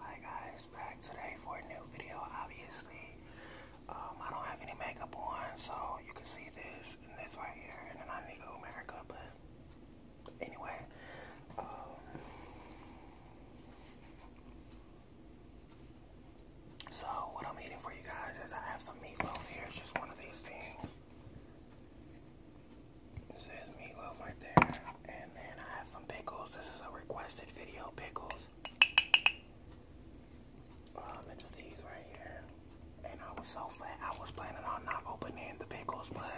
Hi guys, back today for a new video. Obviously, um, I don't have any makeup on, so you can see this and this right here, and then I need to go America. But anyway, um, so what I'm eating for you guys is I have some meatloaf here. It's just one of these things. This is meatloaf right there. And then I have some pickles. This is a requested video pickles. Um, it's these right here. And I was so fat. I was planning on not opening the pickles, but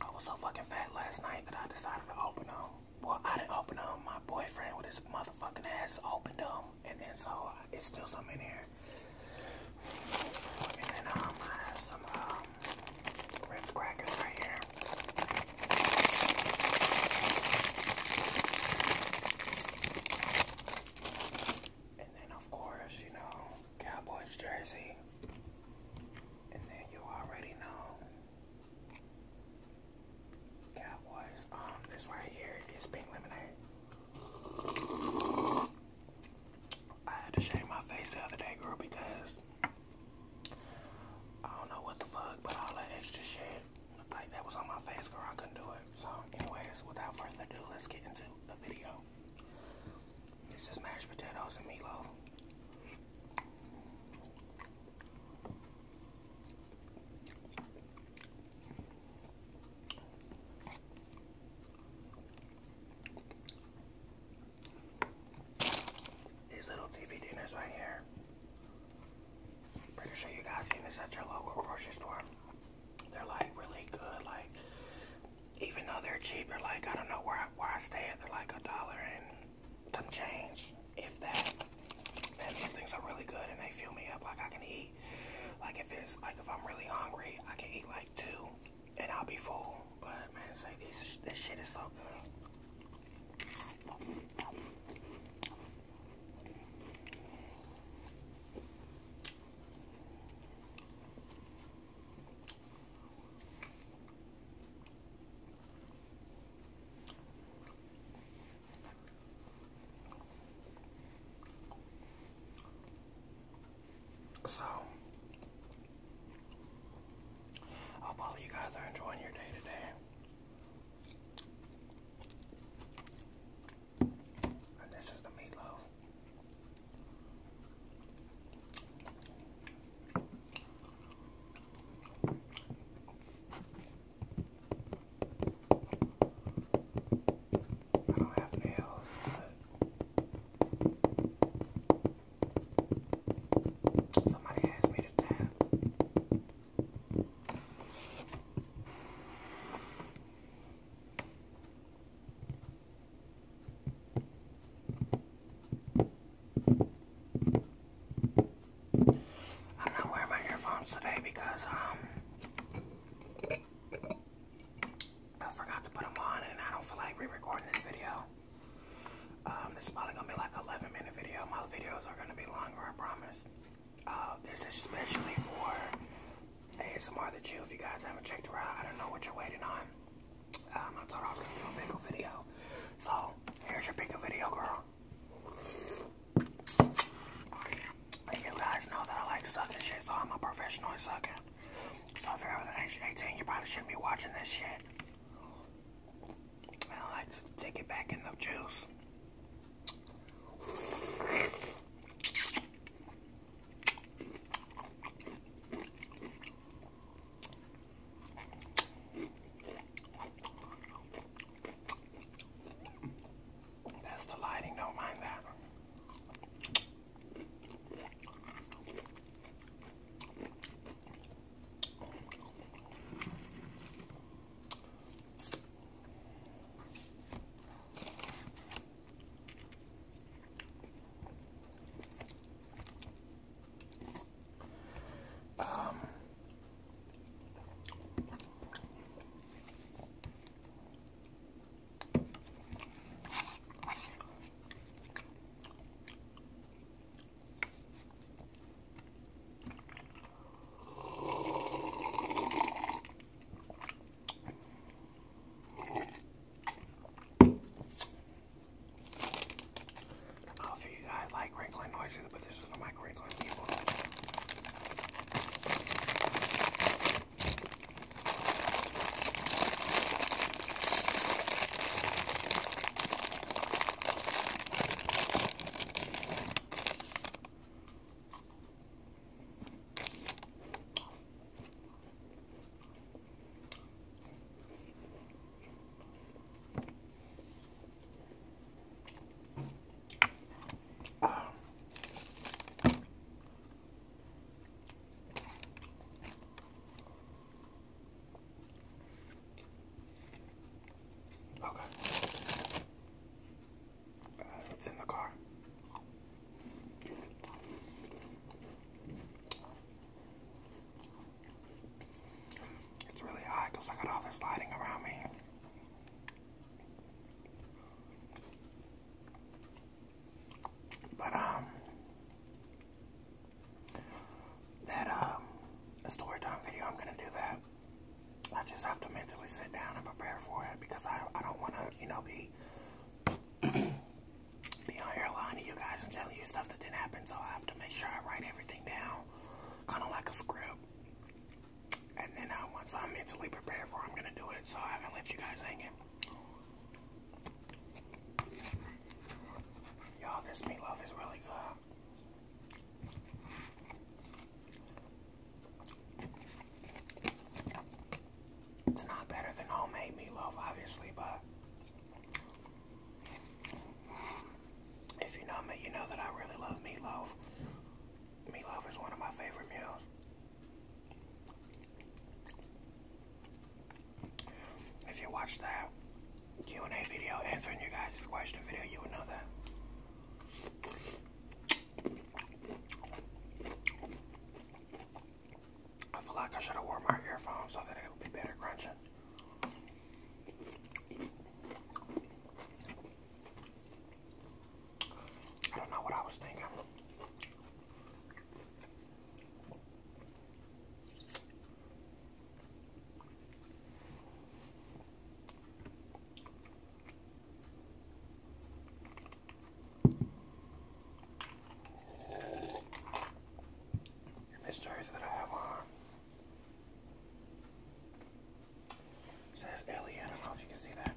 I was so fucking fat last night that I decided to open them. Well, I didn't open them. My boyfriend with his motherfucking ass opened them. And then so it's still some in here. And then um, I have some um, Ritz crackers right here. And then of course, you know, Cowboys jersey. And then you already know Cowboys. Um, this right here is pink lemonade. I had to shave my face the other day, girl, because I don't know what the fuck, but all that extra shit, like that was on my face, girl. I couldn't do it. So, anyways, without further ado, let's get into the video. This is mashed potatoes and meatloaf. These little TV dinners right here. Pretty sure you guys seen this at your local grocery store. They're like really good, like even though they're cheaper, like I don't know where I, where I stay at, they're like a dollar and some change, if that. And these things are really good and they fill me up. Like I can eat, like if it's like if I'm really hungry, I can eat like two and I'll be full. But man, say this, this shit is so good. So, I hope all you guys are enjoying your day today. And this is the meatloaf. I don't have nails, somebody asked me to tap. I'm not wearing my earphones today because um I forgot to put them on and I don't feel like re-recording this video. Um, this is probably gonna be like an 11 minute video. My videos are gonna be longer, I promise. Uh, this is especially for ASMR The Chill. If you guys haven't checked it out, I don't know what you're waiting on. Um, I thought I was gonna do a pickle video. So, here's your pickle video, girl you guys know that I like sucking shit, so I'm a professional at sucking. So if you're over the age of 18, you probably shouldn't be watching this shit. I like to take it back in the juice. That's the lighting, don't mind that. Um, I'll you guys like wrinkling noises, but this is for my great people because um, uh, I got all this lighting around me. But um that um uh, video I'm gonna do that. I just have to mentally sit down and prepare for it because I I don't wanna, you know, be be on here lying to you guys and telling you stuff that didn't happen so I have to make sure I write everything down. Kinda like a script. And then uh, once I'm mentally prepared for I'm going to do it. So I haven't left you guys hanging. Y'all, this meatloaf is really good. It's not better than homemade meatloaf, obviously, but if you know me, you know that I really love meatloaf. Meatloaf is one of my favorite meals. If you watch that Q&A video answering your guys' question video, you would know that. I feel like I should have worn my earphones so that it would be better crunching. I don't know what I was thinking. This jersey that I have on it says Ellie, I don't know if you can see that.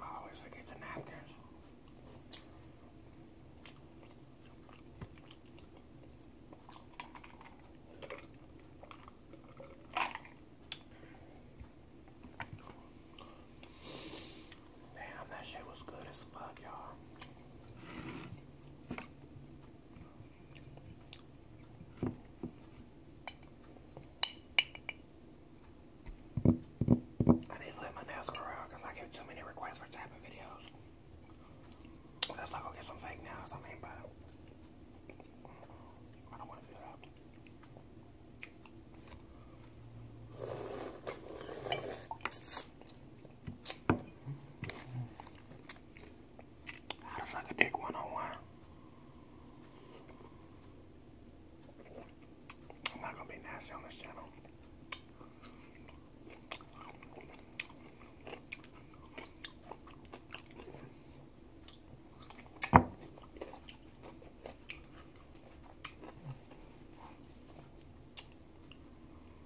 I always forget the napkins. Damn, that shit was good as fuck, y'all. I need to let my nails grow because I get too many requests for tapping videos. Let's not go get some fake nails. I mean, but I don't want to do that. How to suck a dick 101. I'm not gonna be nasty on this channel.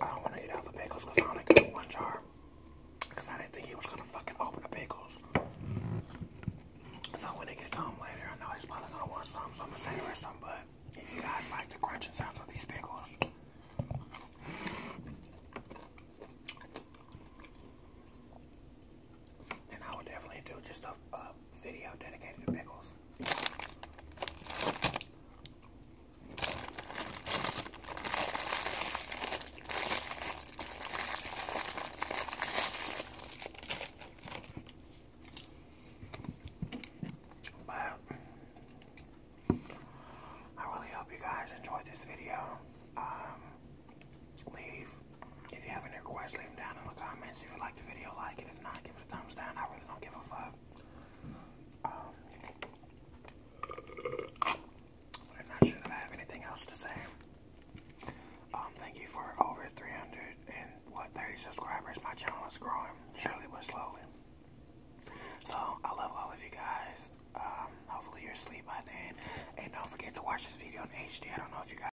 I don't want to eat all the pickles because I only got one jar. Because I didn't think he was going to fucking open the pickles. So when he gets home later, I know he's probably going to want some, so I'm going to say there is some, but if you guys like the crunching sounds of these pickles, then I would definitely do just a video dedicated to pickles this. I really hope you guys enjoyed this video. Um, leave if you have any requests, leave them down in the comments. If you like the video, like it. If not, give it a thumbs down. I really don't give a fuck. I'm um, not sure that I have anything else to say. Um, thank you for over 300 and what 30 subscribers. My channel is growing, surely but slowly. So I love all of you guys. Um, hopefully you're asleep by then, and don't forget to watch this video in HD. I don't know if you guys.